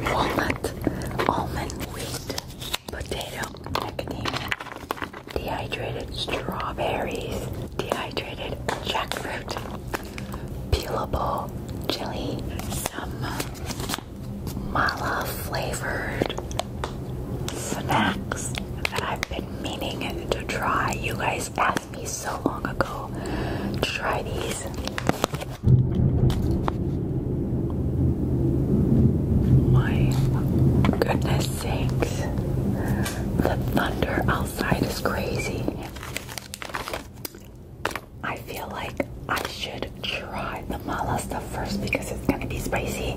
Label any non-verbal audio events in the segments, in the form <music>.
Walnut, almond, wheat, potato, dehydrated strawberries, dehydrated jackfruit, peelable chili, some mala flavored snacks that I've been meaning to try. You guys asked me so long ago try these. My goodness sakes. The thunder outside is crazy. I feel like I should try the mala stuff first because it's gonna be spicy.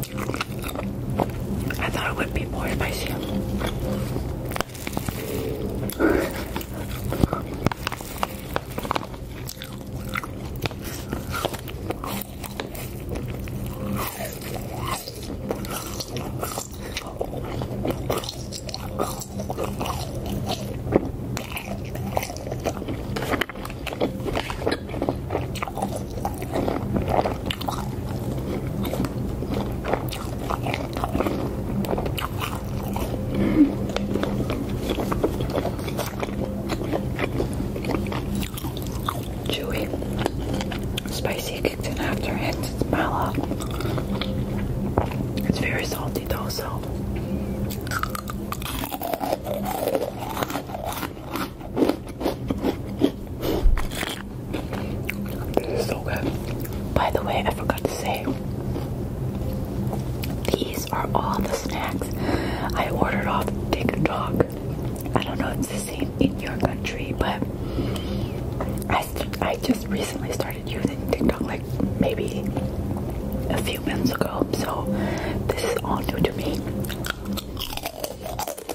I thought it would be more spicy. Chewy, spicy kicked in after it. It's mellow. It's very salty though, so. This is so good. By the way, I forgot to say these are all the snacks I ordered off TikTok. I don't know if it's the same in your country, but I, I just recently started using TikTok like maybe a few months ago, so this is all new to me. Oops.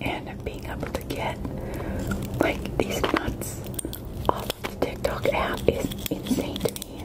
And being able to get like these nuts off of the TikTok app is insane to me.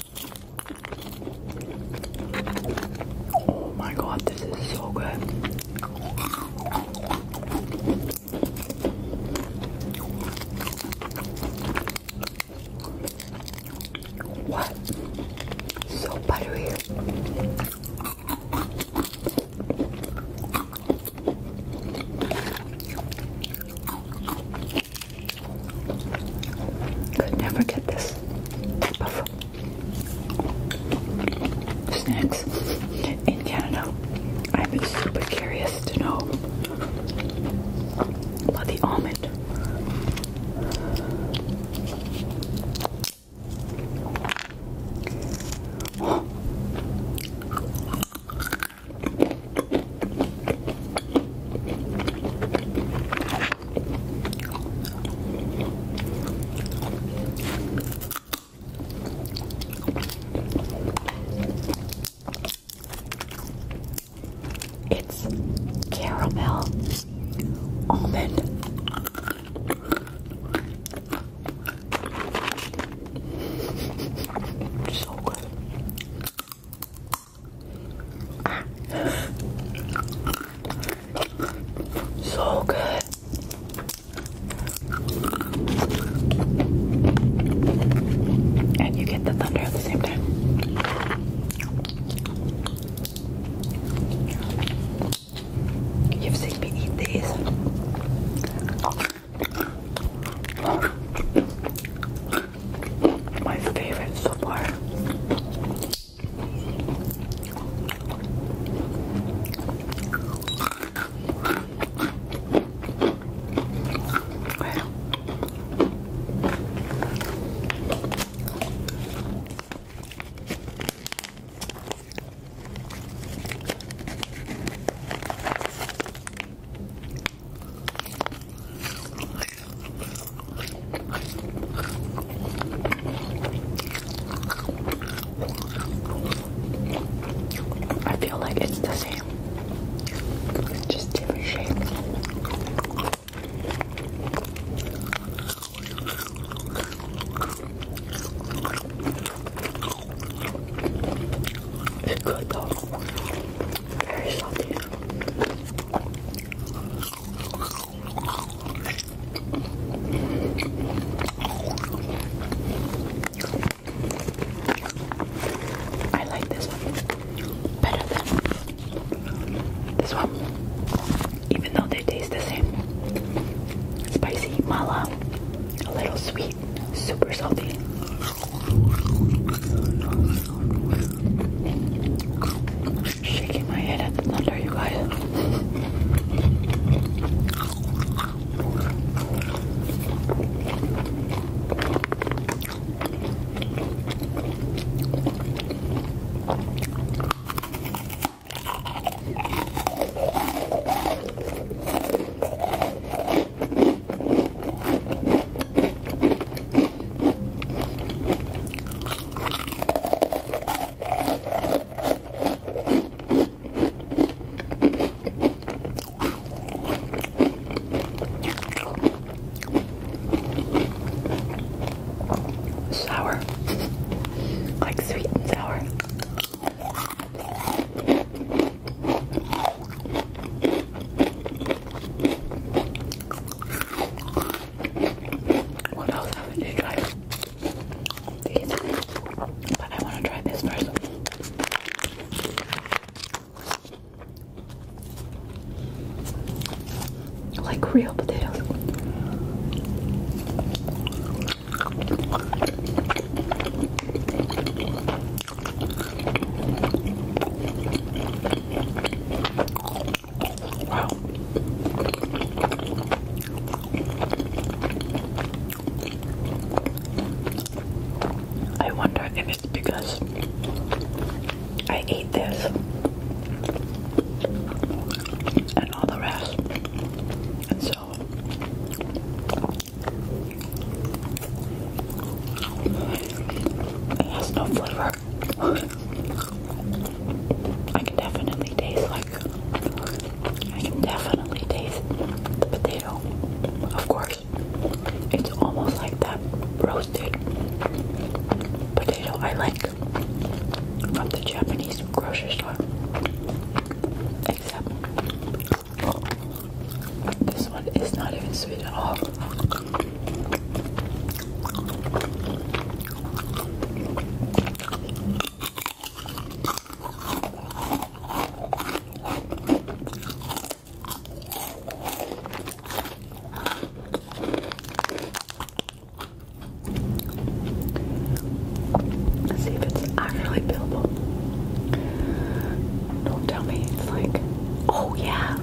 Oh my god, this is so good. What? So buttery. Could never get this type of snacks in Canada. I've been super curious to know about the almond. It's caramel almond. so good. <laughs> So good. And you get the thunder at the same time. You've seen me eat these my favorite so far. I feel like it's the same, just different shape. It's good though, very salty. I like this one better than this one, even though they taste the same. Spicy mala, a little sweet, super salty. I'm shaking my head at the thunder, you guys. Sour, like sweet and sour. What else haven't tried? But I want to try this first. Like real potatoes. I wonder if it's because I ate this and all the rest, and so it has no flavor. I can definitely taste like I can definitely taste the potato. Of course. It's almost like that roasted potato I like from the Japanese grocery store. Except this one is not even sweet at all. Let's see if it's actually billable. Don't tell me it's like, oh yeah.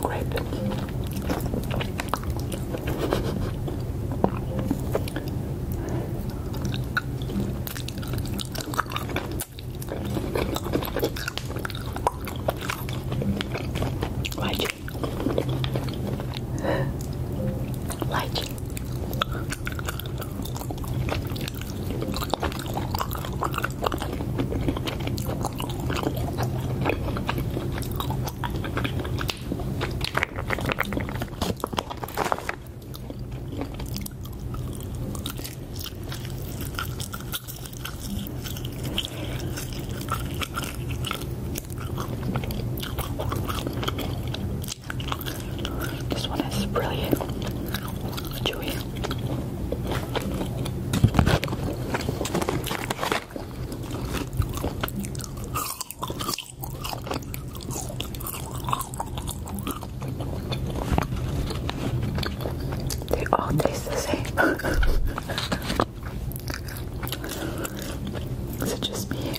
Grape. Why'd you Light. This one is brilliant. chewy. They all taste the same. <laughs> Is it just me?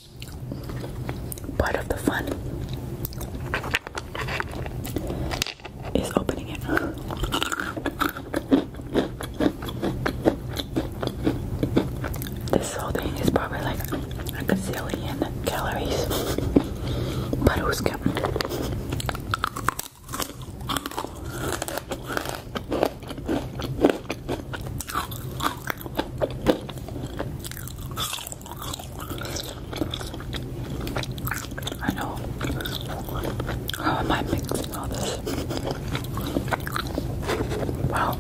part of the fun is opening it. This whole thing is probably like a gazillion calories, but who's counting? I know. How am I mixing all this? Wow.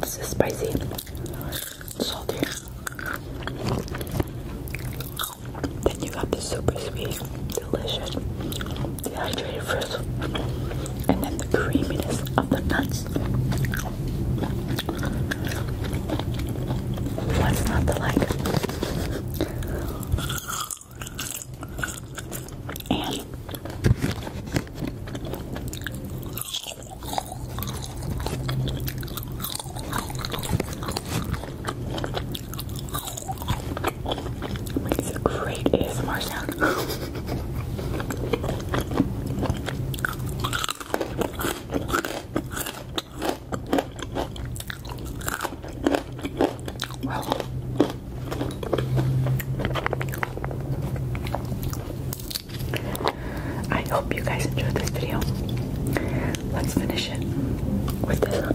This is spicy. Salty. Then you got the super sweet. Delicious dehydrated first, and then the creaminess of the nuts. What's not to like? And Makes a great ASMR I hope you guys enjoyed this video. Let's finish it with this.